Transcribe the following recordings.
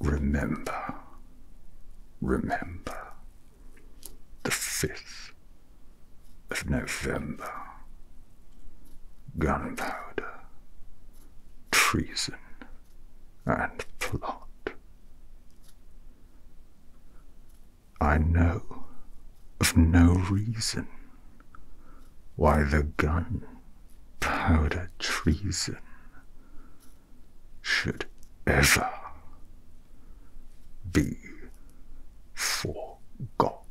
Remember, remember the 5th of November. Gunpowder, treason, and plot. I know of no reason why the gun, powder, treason should ever be forgot.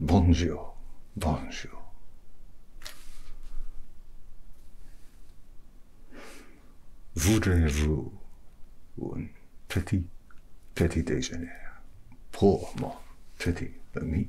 Bonjour, bonjour. Voudrez-vous un petit, petit déjeuner pour mon petit ami?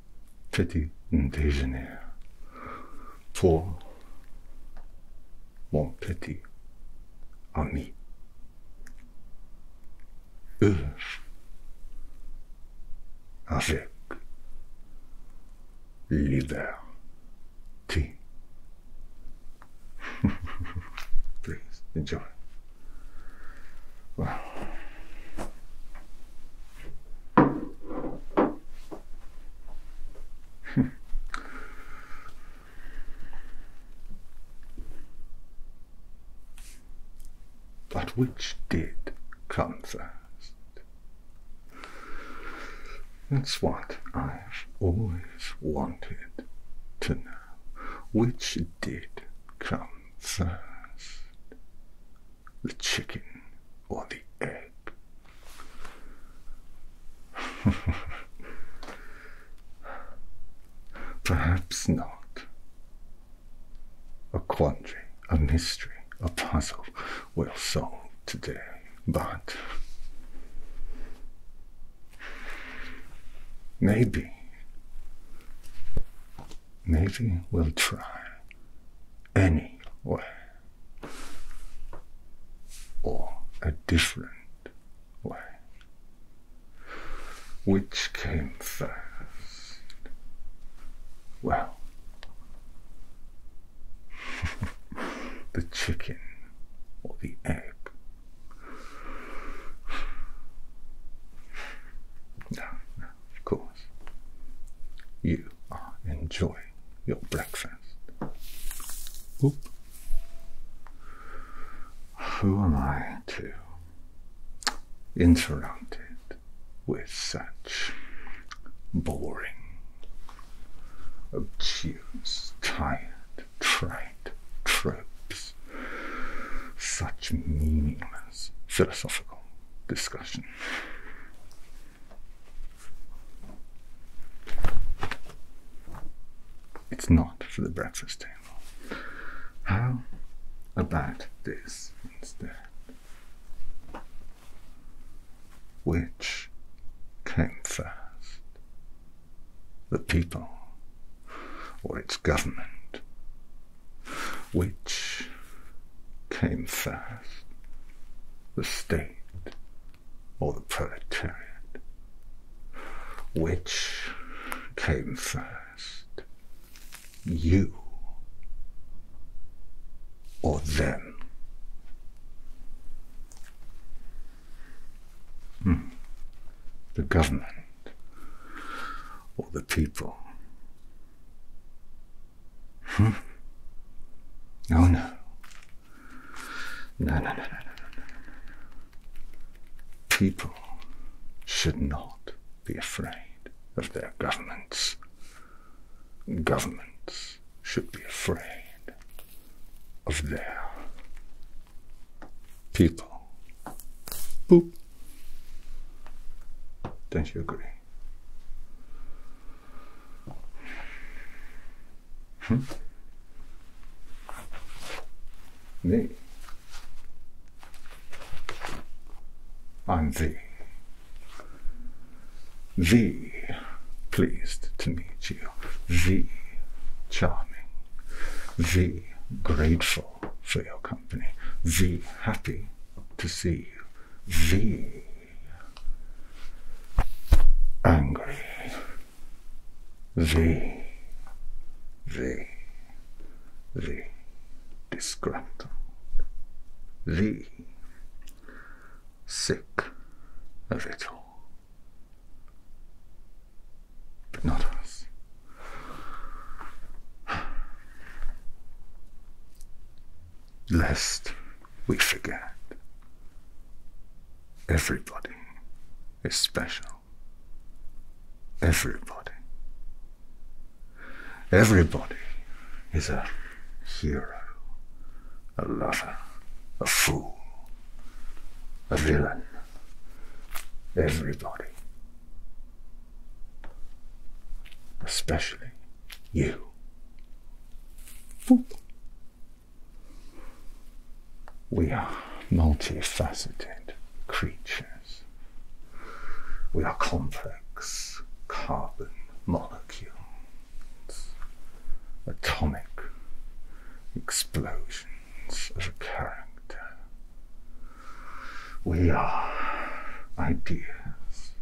petit déjeuner pour mon petit ami. Eux, avec liberté. Please enjoy. Hmm. but which did come first? That's what I've always wanted to know. Which did come first? the chicken or the egg? Perhaps not. A quandary, a mystery, a puzzle We'll solve today, but maybe, maybe we'll try anyway or a different way? Which came first? Well, the chicken or the egg? No, of course, you are enjoying your breakfast. Oop. Who am I to interrupt it with such boring, obtuse, tired, trite tropes? Such meaningless philosophical discussion. It's not for the breakfast table. How about this instead? Which came first? The people or its government? Which came first? the state, or the proletariat? Which came first, you or them? Hmm. The government or the people? Hmm? Oh, no, no, no, no, no, no. People should not be afraid of their governments. Governments should be afraid of their people. Boop. Don't you agree? Hmm? 네. I'm thee. Thee pleased to meet you. Thee charming. Thee grateful for your company. Thee happy to see you. Thee angry. the, the, the disgruntled. the sick of it all. But not us lest we forget. Everybody is special. Everybody. Everybody is a hero, a lover, a fool, a villain. Everybody. Especially you We are multifaceted creatures. We are complex carbon molecules, atomic explosions of character. We are ideas,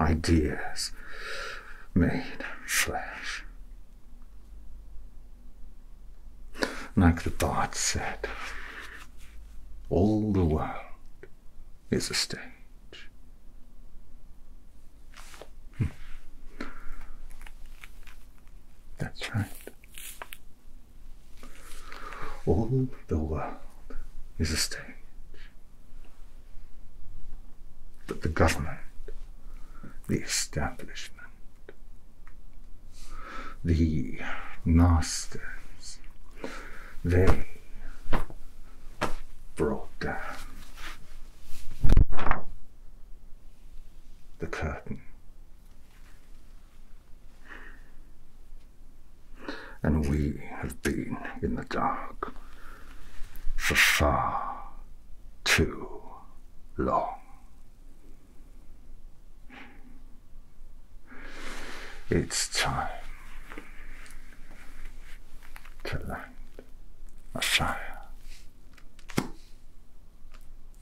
ideas made flesh. Like the bard said, all the world is a stage. Hmm. That's right. All the world is a stage. But the government, the establishment, the masters, they brought down the curtain and we have been in the dark for far too long. It's time to light a fire.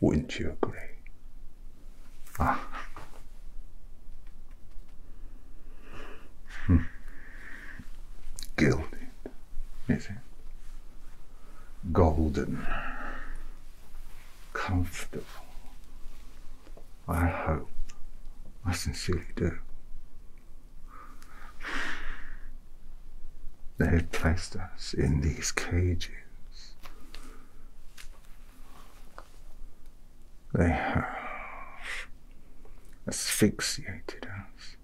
Wouldn't you agree? Ah. Gilded, is it? Golden, comfortable. I hope, I sincerely do. They had placed us in these cages. They have asphyxiated us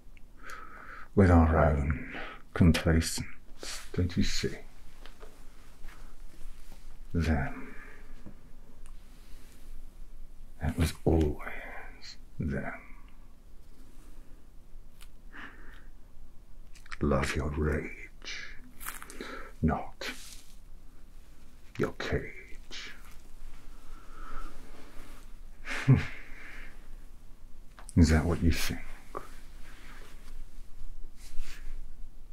with our own complacence. Don't you see? Them. It was all. them. Love your rage, not your cage. Hmm. Is that what you think?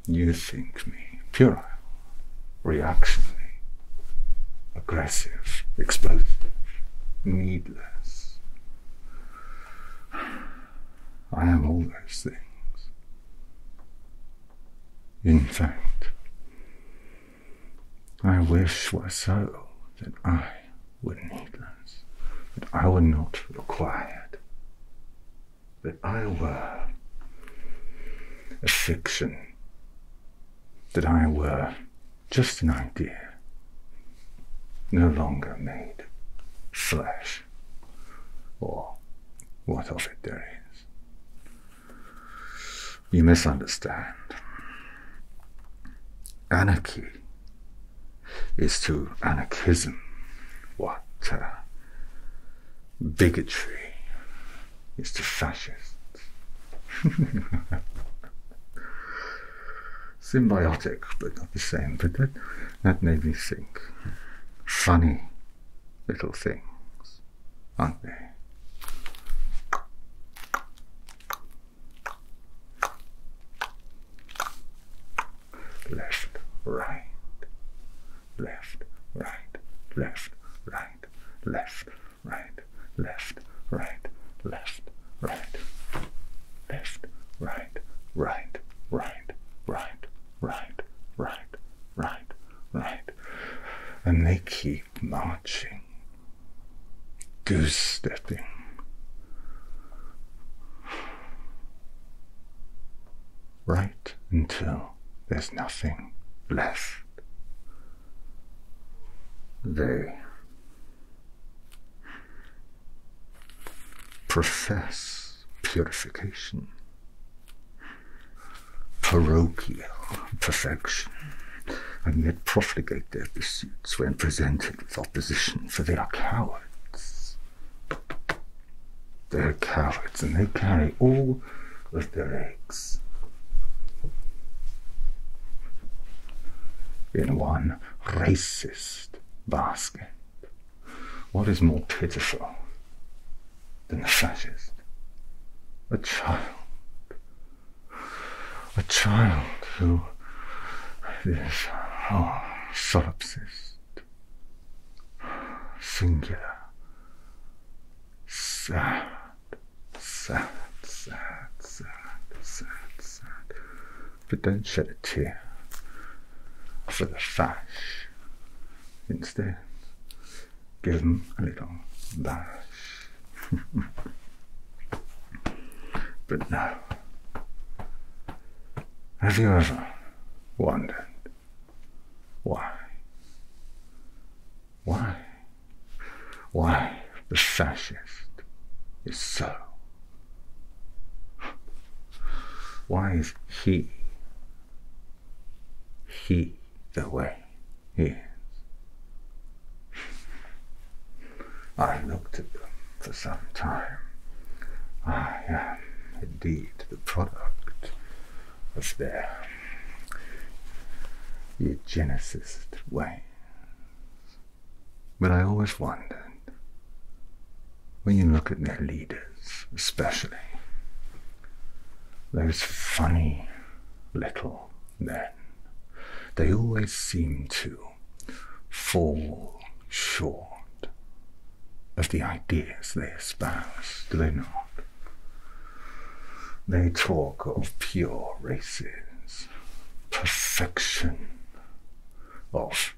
You think me puerile, reactionary, aggressive, explosive, needless. I am all those things. In fact, I wish were so that I were needless, that I were not required, that I were a fiction, that I were just an idea, no longer made flesh, or what of it there is. You misunderstand. Anarchy is to anarchism what uh, bigotry is to fascists. Symbiotic, but not the same, but that made me think. Funny little things, aren't they? Left, right, left, right, left, right, left, right, left, right, left, right, left, right, right, right, right, right, right, right, right. And they keep marching, goose stepping. Right until there's nothing left. They profess purification parochial perfection, and yet profligate their pursuits when presented with opposition, for they are cowards. They are cowards, and they carry all of their eggs in one racist basket. What is more pitiful the fascist. A child. A child who is oh, solipsist, singular, sad, sad, sad, sad, sad, sad. But don't shed a tear for the fash. Instead, give him a little dash. but now Have you ever wondered why? Why? Why the fascist is so? Why is he, he the way? hands. I looked at them for some time. I am indeed the product of their eugenicist ways. But I always wondered, when you look at their leaders especially, those funny little Men, They always seem to fall short of the ideas they espouse, do they not? They talk of pure races, perfection, of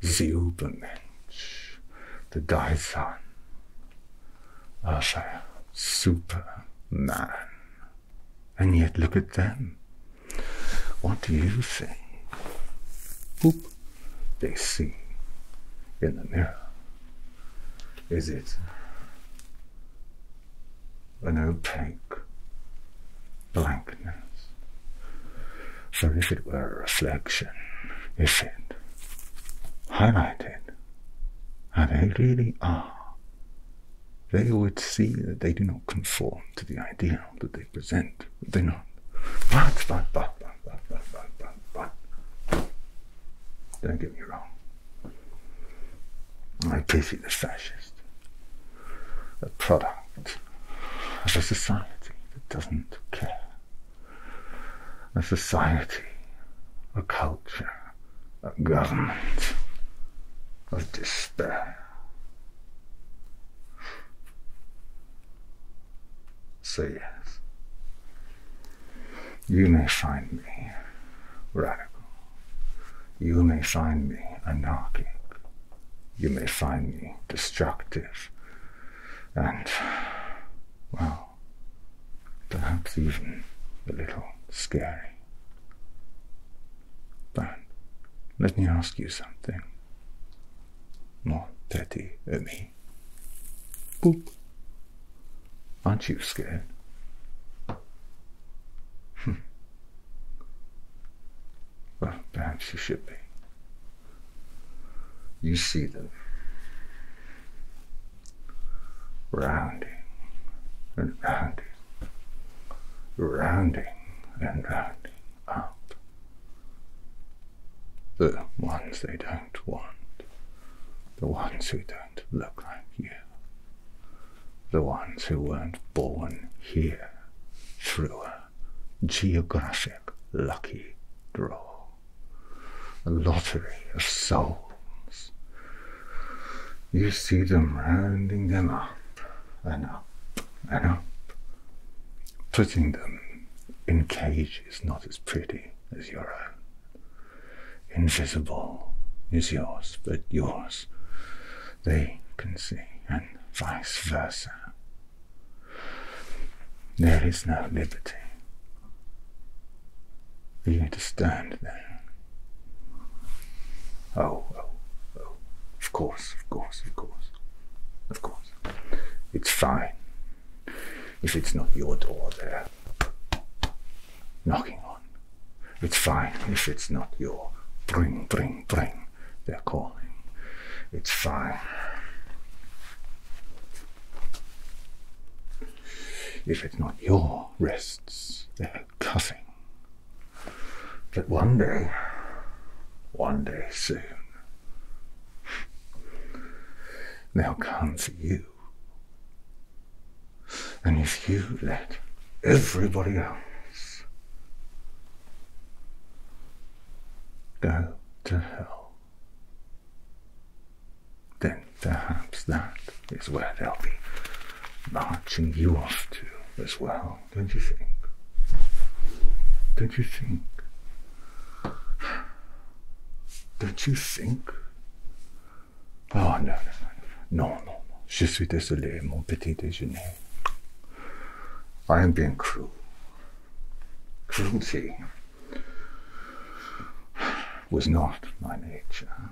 the Übermensch, the Dasein Arthur, Superman. And yet look at them. What do you see? Whoop, they see in the mirror. Is it an opaque blankness? So if it were a reflection, is it highlighted? and they really are, they would see that they do not conform to the ideal that they present, would they not? don't get me wrong. I pity the fascist, a product of a society that doesn't care, a society, a culture a government of despair. So, yes, you may find me radical. You may find me anarchic. You may find me destructive. And, well, perhaps even a little scary. But let me ask you something. Not petty at me. Boop. Aren't you scared? Hmm. Well, perhaps you should be. You see them rounding and rounding, rounding and rounding up the ones they don't want, the ones who don't look like you, the ones who weren't born here through a geographic lucky draw, a lottery of souls you see them rounding them up and up and up, putting them in cages not as pretty as your own. Invisible is yours, but yours they can see, and vice versa. There is no liberty you need to stand there. Oh, oh, oh. Of course, of course, of course. Of course. It's fine. If it's not your door there knocking on. It's fine if it's not your bring, bring, bring they're calling. It's fine. If it's not your Rests. wrists. They're cuffing. But one day, one day soon, they'll come for you. And if you let everybody else go to hell, then perhaps that is where they'll be marching you off to as well, don't you think? Don't you think? Don't you think? Oh, no, no, no, no, no, Je suis désolé, mon petit déjeuner. I am being cruel. Cruelty was not my nature.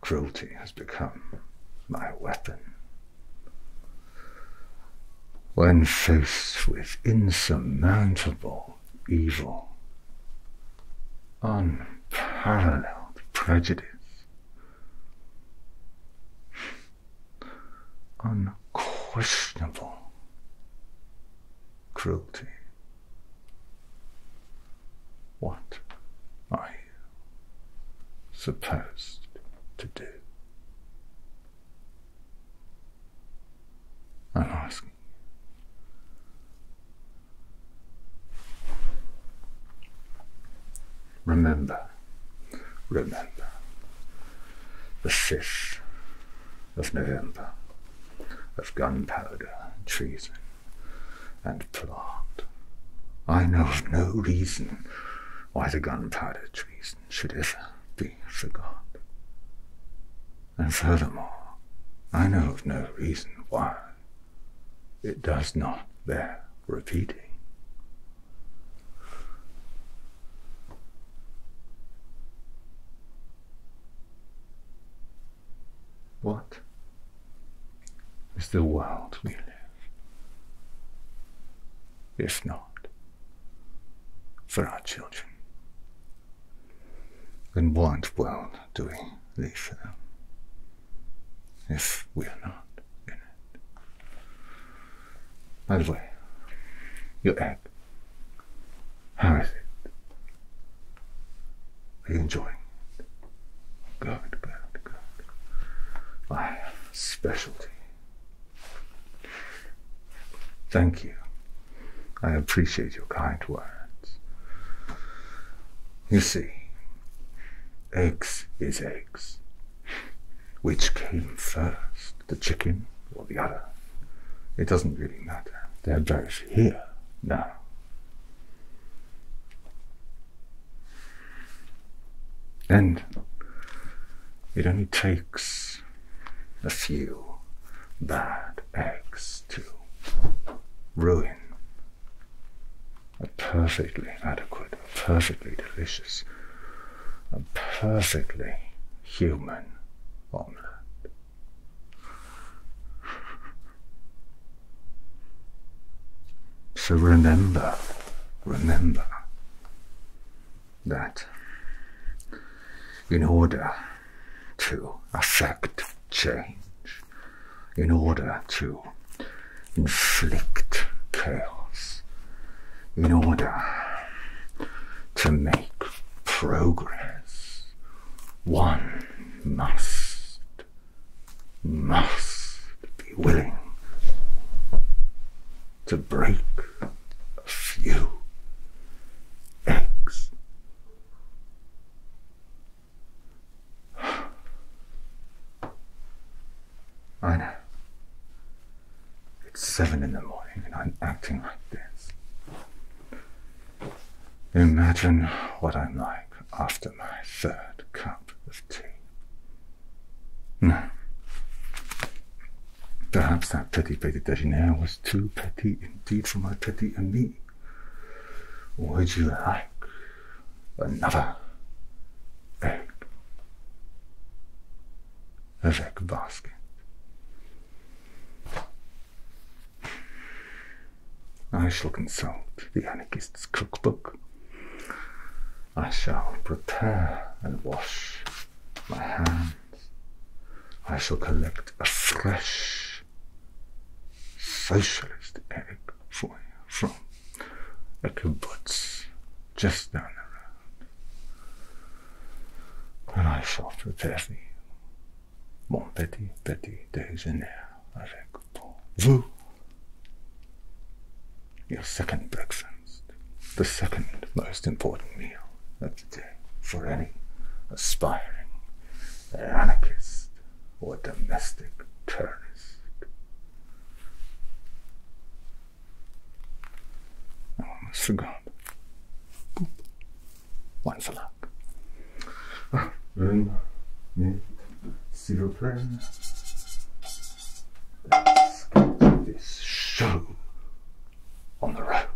Cruelty has become my weapon. When faced with insurmountable evil, unparalleled prejudice, unquestionable cruelty. What are you supposed to do? i ask. asking. Remember, remember the fish of November of gunpowder, treason, and plot. I know of no reason why the gunpowder treason should ever be forgot. And furthermore, I know of no reason why it does not bear repeating. What is the world we live? If not for our children, then what world do we leave for If we are not in it. By the way, your egg how is it? Are you enjoying Good, good, good. I have a specialty. Thank you. I appreciate your kind words. You see, X is eggs. Which came first, the chicken or the other? It doesn't really matter. They're both here. No. And it only takes a few bad eggs to ruin a perfectly adequate, perfectly delicious, a perfectly human omelette. So remember, remember that in order to affect change, in order to inflict chaos, in order to make progress, one must, must be willing to break a few eggs. I know. It's seven in the morning and I'm acting like this. Imagine what I'm like after my third cup of tea. Perhaps that petit petit déjeuner was too petit indeed for my petit ami. Would you like another egg? A egg basket. I shall consult the anarchist's cookbook. I shall prepare and wash my hands. I shall collect a fresh socialist egg for you from a kibbutz just down the road. And I shall prepare for you Bon petit, petit déjeuner avec pour vous. Your second breakfast, the second most important meal of the day for any aspiring anarchist or domestic terrorist. I almost forgot. Boop one for luck. Un, deux, s'il this show on the road.